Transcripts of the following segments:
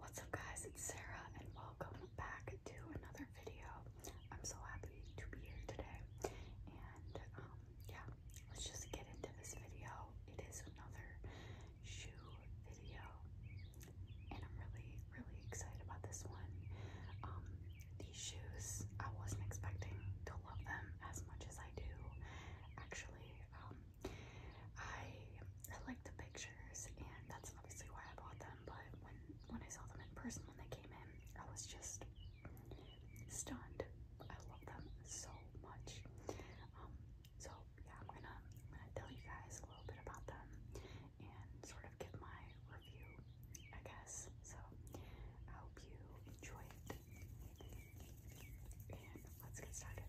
What's up guys, it's Sarah and welcome back to another video. I'm so happy to be here today and um, yeah, let's just get into this video. It is another shoe video and I'm really, really excited about this one. Um, these shoes, I wasn't expecting to love them as much as I do. Actually, um, I I like the pictures, and that's obviously why I bought them. But when when I saw them in person when they came in, I was just stunned. I love them so much. Um, so yeah, I'm gonna tell you guys a little bit about them and sort of give my review, I guess. So I hope you enjoy it, and let's get started.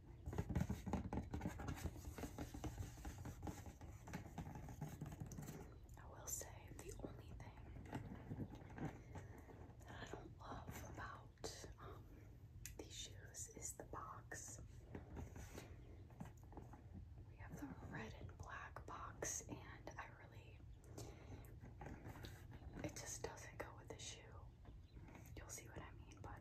I will say the only thing that I don't love about um, these shoes is the box. We have the red and black box, and I really, it just doesn't go with the shoe. You'll see what I mean, but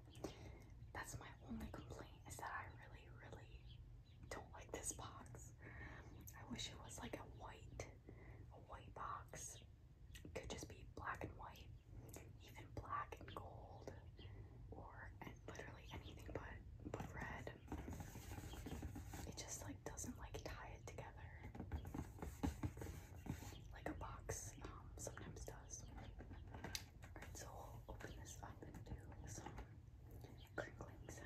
that's my only complaint is that I really really, really don't like this box. I wish it was like a white, a white box. could just be black and white, even black and gold, or literally anything but but red. It just like doesn't like tie it together. Like a box um, sometimes does. Alright, so open this up and do some crinkling sounds.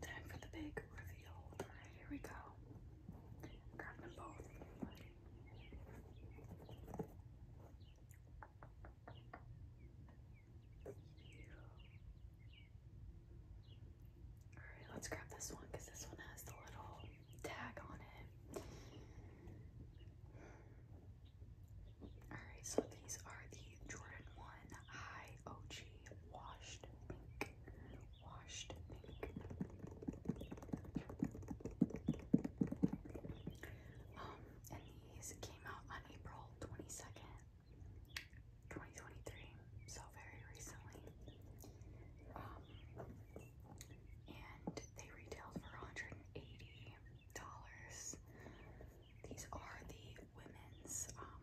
Time for the big reveal. here we go. Grab them both. Alright, let's grab this one because this one has the little tag on it. Alright, so these are the Jordan 1 High OG Washed Pink. Washed Pink. Um, and these came out on April 22nd, 2023, so very recently. Um, and they retailed for $180. These are the women's, um,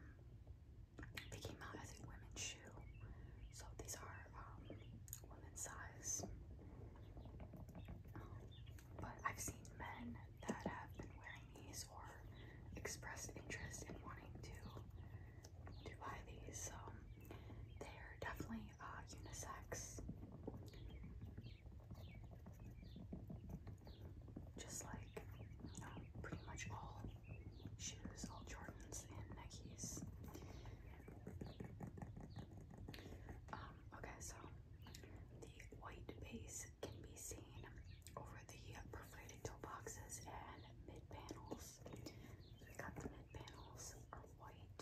they came out as a women's shoe. So these are um, women's size. Um, but I've seen men that have been wearing these or expressed interest in wanting to buy these. Um, they're definitely uh, unisex. Just like, um, pretty much all shoes, all Jordans and Nikes. Um, okay, so the white base can be seen over the perforated toe boxes and mid panels side panels are white,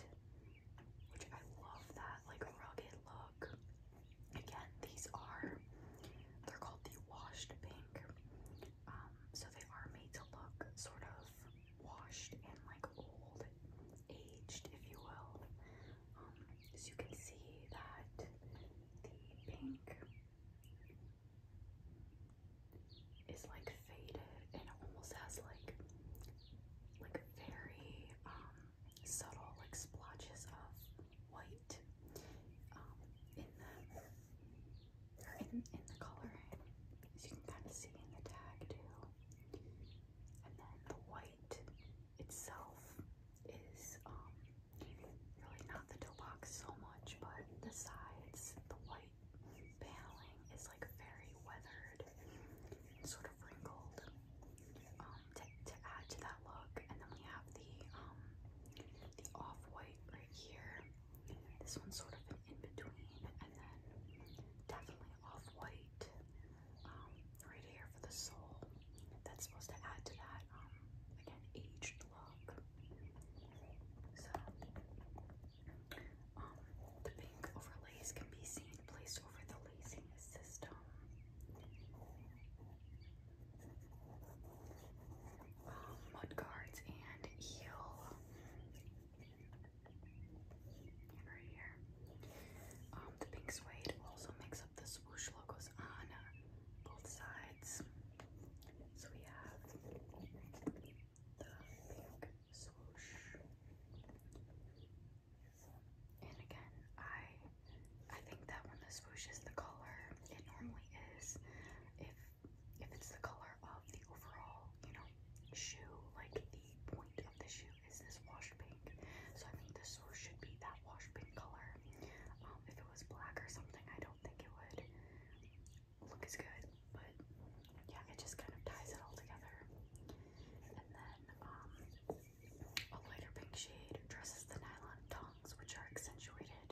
which I love that like rugged look. Again, these are they're called the washed pink. Um, so they are made to look sort of washed and like old, aged, if you will. Um, so you can see that the pink is like faded and almost has like like very um, subtle like splotches of white um, in the in, in the coloring as you can kind of see in the tag too and then the white itself is um really not the toe box so much but the sides the white paneling is like very weathered sort of wrinkled um, to, add to that look. And then we have the um, the off-white right here. This one's sort of an in-between and then definitely off-white um, right here for the sole. That's supposed to add to that, again, aged look. So, um, the pink overlays can be seen placed over the lacing system. Um, mudguards and eel. right here. Um, the pink suede also makes up the swoosh logos on both sides. So we have the pink swoosh. And again, I I think that when the swoosh is the color, it normally is. If if it's the color of the overall, you know, shoe, like the point of the shoe is this wash pink. So I think the swoosh should be that wash pink color. Um, if it was black or something, I don't think it would look as good. But yeah, it just kind of ties it all together. And then um, a lighter pink shade dresses the nylon tongues, which are accentuated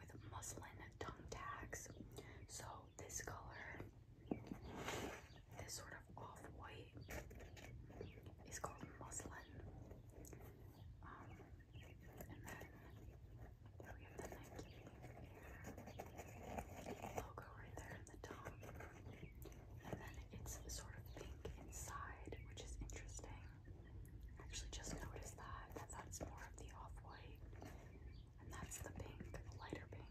with muslin tongue tags. So this color, this sort of off-white, is called muslin. Um, and then we have the Nike logo right there the top, and then it's sort of pink inside, which is interesting. actually just noticed that, that's more of the off-white, and that's the pink, lighter pink.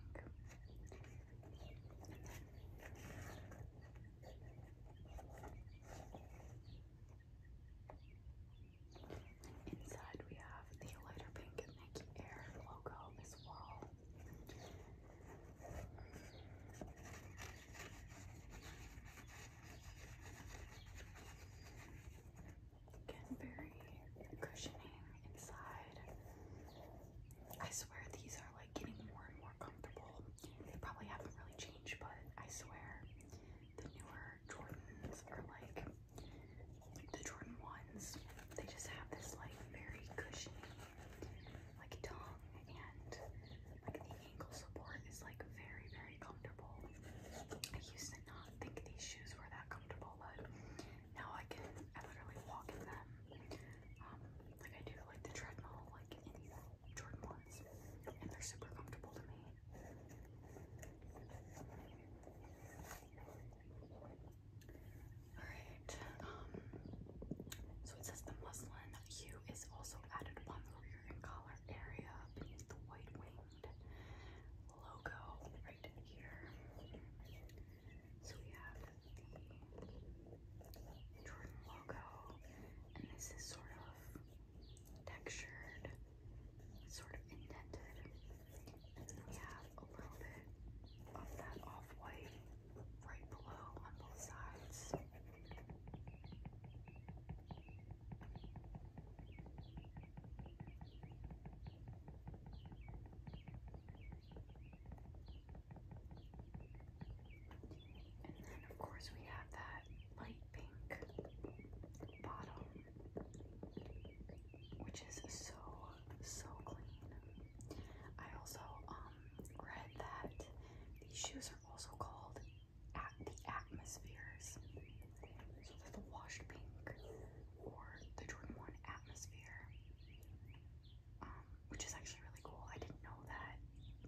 Inside we have the lighter pink Nike Air logo as well. Again, very cushioning inside. I swear these are like getting more and more comfortable. They probably haven't really changed, but I swear the newer Jordans are like the Jordan 1s, they just have this like very cushy like tongue and like the ankle support is like very, very comfortable. I used to not think these shoes were that comfortable, but now I can, I literally walk in them. Um, like I do like the treadmill, like in these Jordan 1s, and they're super comfortable to me. Alright, um, so it says the muslin hue is also added upon the rear and collar area beneath the white winged logo right here. So we have the Jordan logo, and this is sort of textured, sort of indented. We have a little bit of that off-white right below on both sides. And then, of course, we have that light pink bottom, which is so so clean. I also um read that these shoes are also called at the atmospheres. So they the washed pink or the Jordan 1 atmosphere. Um, which is actually really cool. I didn't know that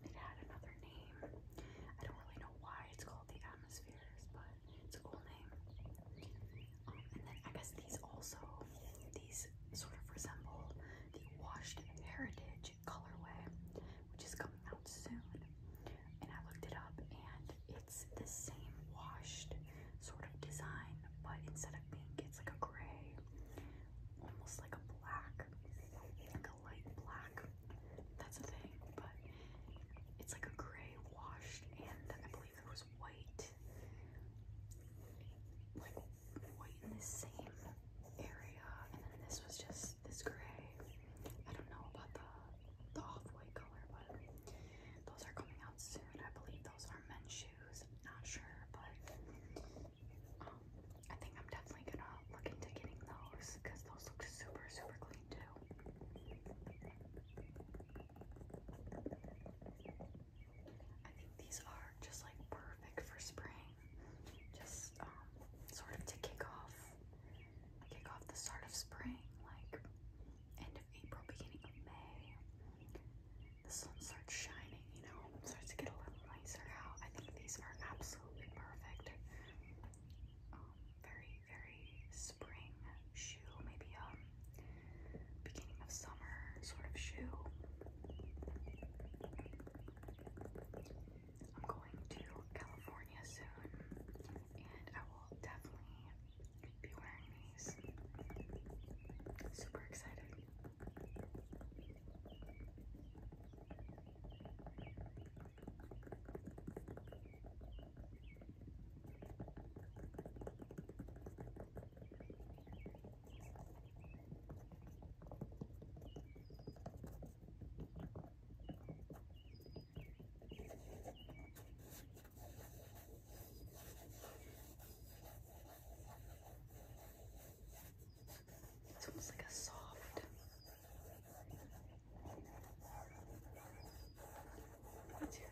it had another name. I don't really know why it's called the atmospheres, but it's a cool name and then I guess these also, these sort of resemble the Washed Heritage colorway, which is coming out soon. And I looked it up and it's the same washed sort of design, but instead of pink, it's like a gray, almost like a black, a light black. That's the thing, but it's like a gray washed and I believe believe was white. Like white in the same area, and then this was just this gray. I don't know about the the off-white color, but those are coming out soon. I believe those are men's shoes. I'm not sure, but um, I think I'm definitely gonna look into getting those because those look super, super clean too. I think these are just like perfect for spring. Just um sort of to kick off kick off the start of spring, like end of April, beginning of May. The sun starts shining, you know, starts to get a little nicer out. I think these are absolutely perfect. Um, very, very spring shoe, maybe um beginning of summer sort of shoe. I'm going to California soon and I will definitely be wearing these. Super excited. It's almost like a soft. Material.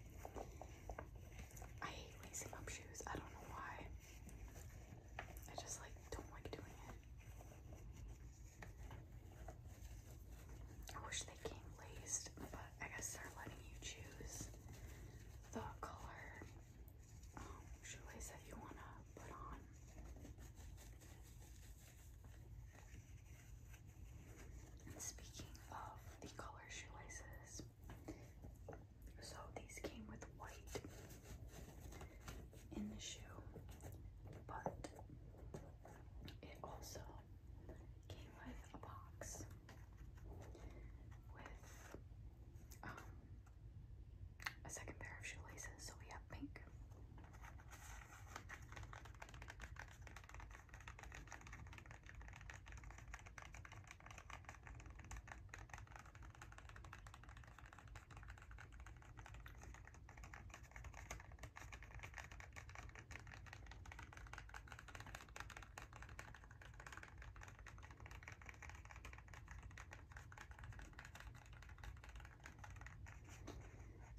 I hate lacing up shoes. I don't know why. I just like don't like doing it. I wish they came laced, but I guess they're letting you choose the color um, shoelace that you want to put on. Speaking of the color shoelaces, so these came with white in the shoe, but it also came with a box with um, a second pair of shoelaces. So we have pink.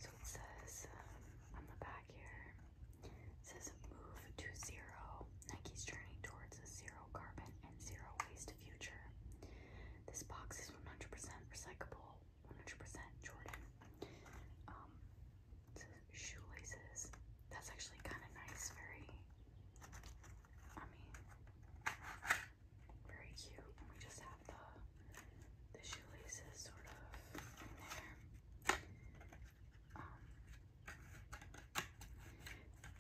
So it says um, on the back here it says move to zero. Nike's journey towards a zero carbon and zero waste future. This box is 100% recyclable, 100% Jordan. Um, it says shoelaces. That's actually kind of nice. Very, I mean, very cute. And we just have the the shoelaces sort of in there. Um,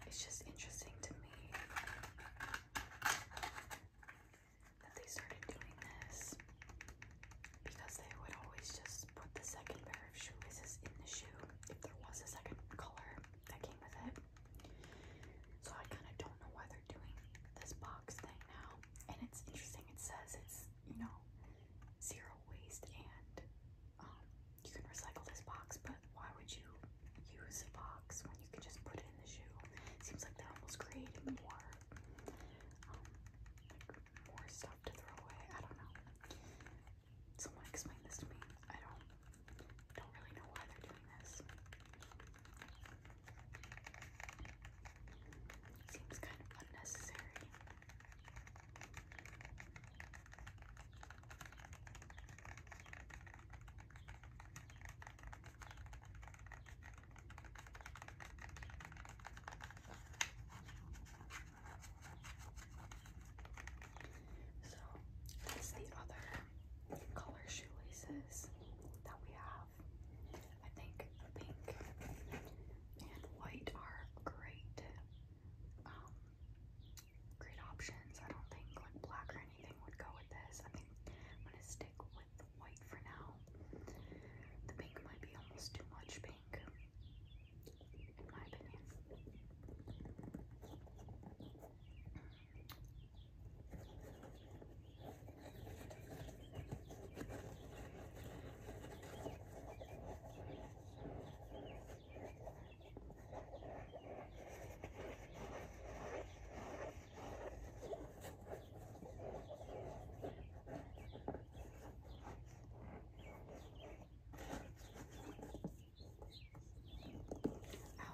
it's just interesting to me that they started doing this because they would always just put the second pair of shoelaces in the shoe if there was a second color that came with it. So I kind of don't know why they're doing this box thing now. And it's interesting, it says it's, you know, zero waste and um, you can recycle this box, but why would you use a box when you can just put it in the shoe? seems like they're almost creating more, um, more stuff to throw away. I don't know. Someone explain this to me. I don't, don't really know why they're doing this. Seems kind of unnecessary. So that's the other color shoelaces that we have. I think pink and white are great um, great options. I don't think like black or anything would go with this. I am gonna stick with white for now. The pink might be almost too much pink, in my opinion. I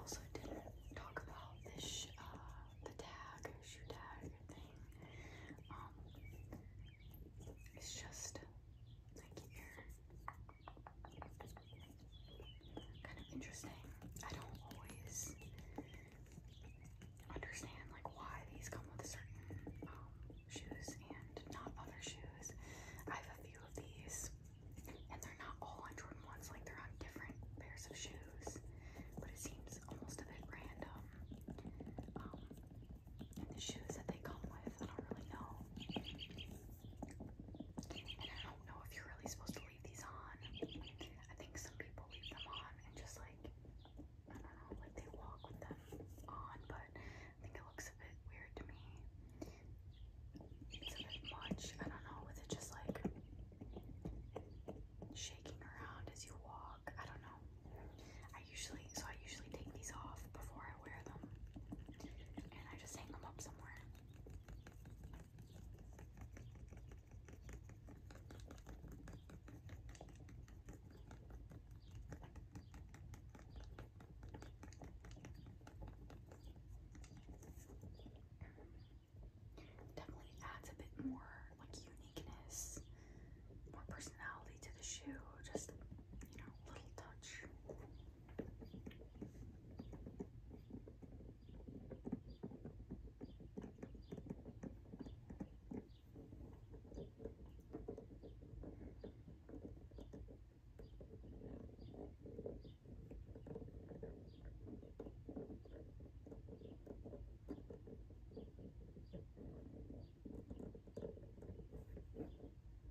also didn't talk about this uh, the tag shoe tag thing. Um, it's just Thank you. Kind of interesting. I don't always understand like why these come with certain um, shoes and not other shoes. I have a few of these, and they're not all on Jordan ones. Like they're on different pairs of shoes, but it seems almost a bit random. Um, and the shoes that they come with. I don't really know. And I don't know if you're really supposed to leave these on. I think some people leave them on and just like, I don't know, like they walk with them on, but I think it looks a bit weird to me. It's a bit much. I don't know, with it just like shaking around as you walk. I don't know. I usually, so I usually take these off before I wear them, and I just hang them up somewhere. Definitely adds a bit more like uniqueness more personality to the shoe, just, you know, a little touch.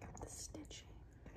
Got the stitching. Got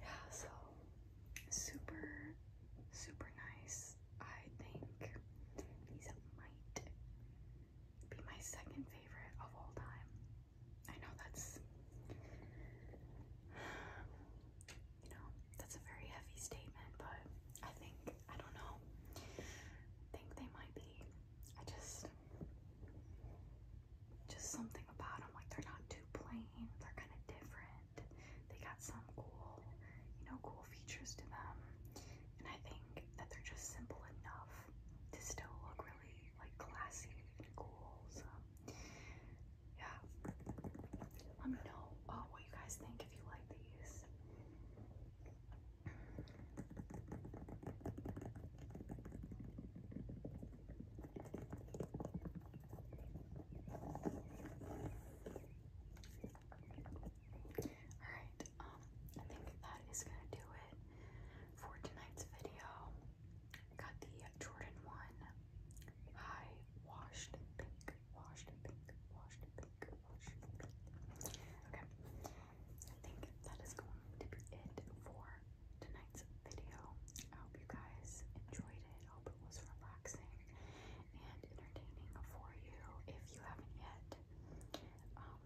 Yeah, so super, super nice. I think these might be my second favorite of all time. I know that's, you know, that's a very heavy statement, but I think I don't know. think they might be. I just, just something about them. Like they're not too plain. They're kind of different. They got some cool, you know, cool features to them. And I think that they're just simple enough to still look really like classy and cool. So yeah, let me know uh, what you guys think if you like these. Alright, um, I think that is gonna do it for tonight's video. Got the Jordan 1 High Washed Pink washed pink, washed pink, washed pink. Okay, I think that is going to be it for tonight's video. I hope you guys enjoyed it. hope it was relaxing and entertaining for you. If you haven't yet, um,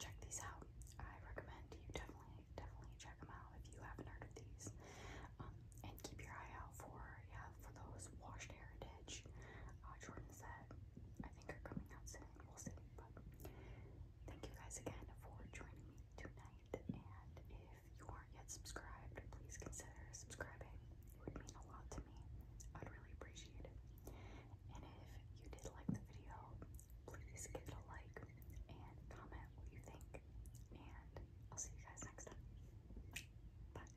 check these out. I recommend you definitely, definitely check them out if you haven't heard of these. Um, and keep your eye out for yeah for those washed hair uh, Jordan said, I think are coming out soon. We'll see. But thank you guys again for joining me tonight. And if you aren't yet subscribed, please consider subscribing. It would mean a lot to me. I'd really appreciate it. And if you did like the video, please give it a like and comment what you think. And I'll see you guys next time. Bye.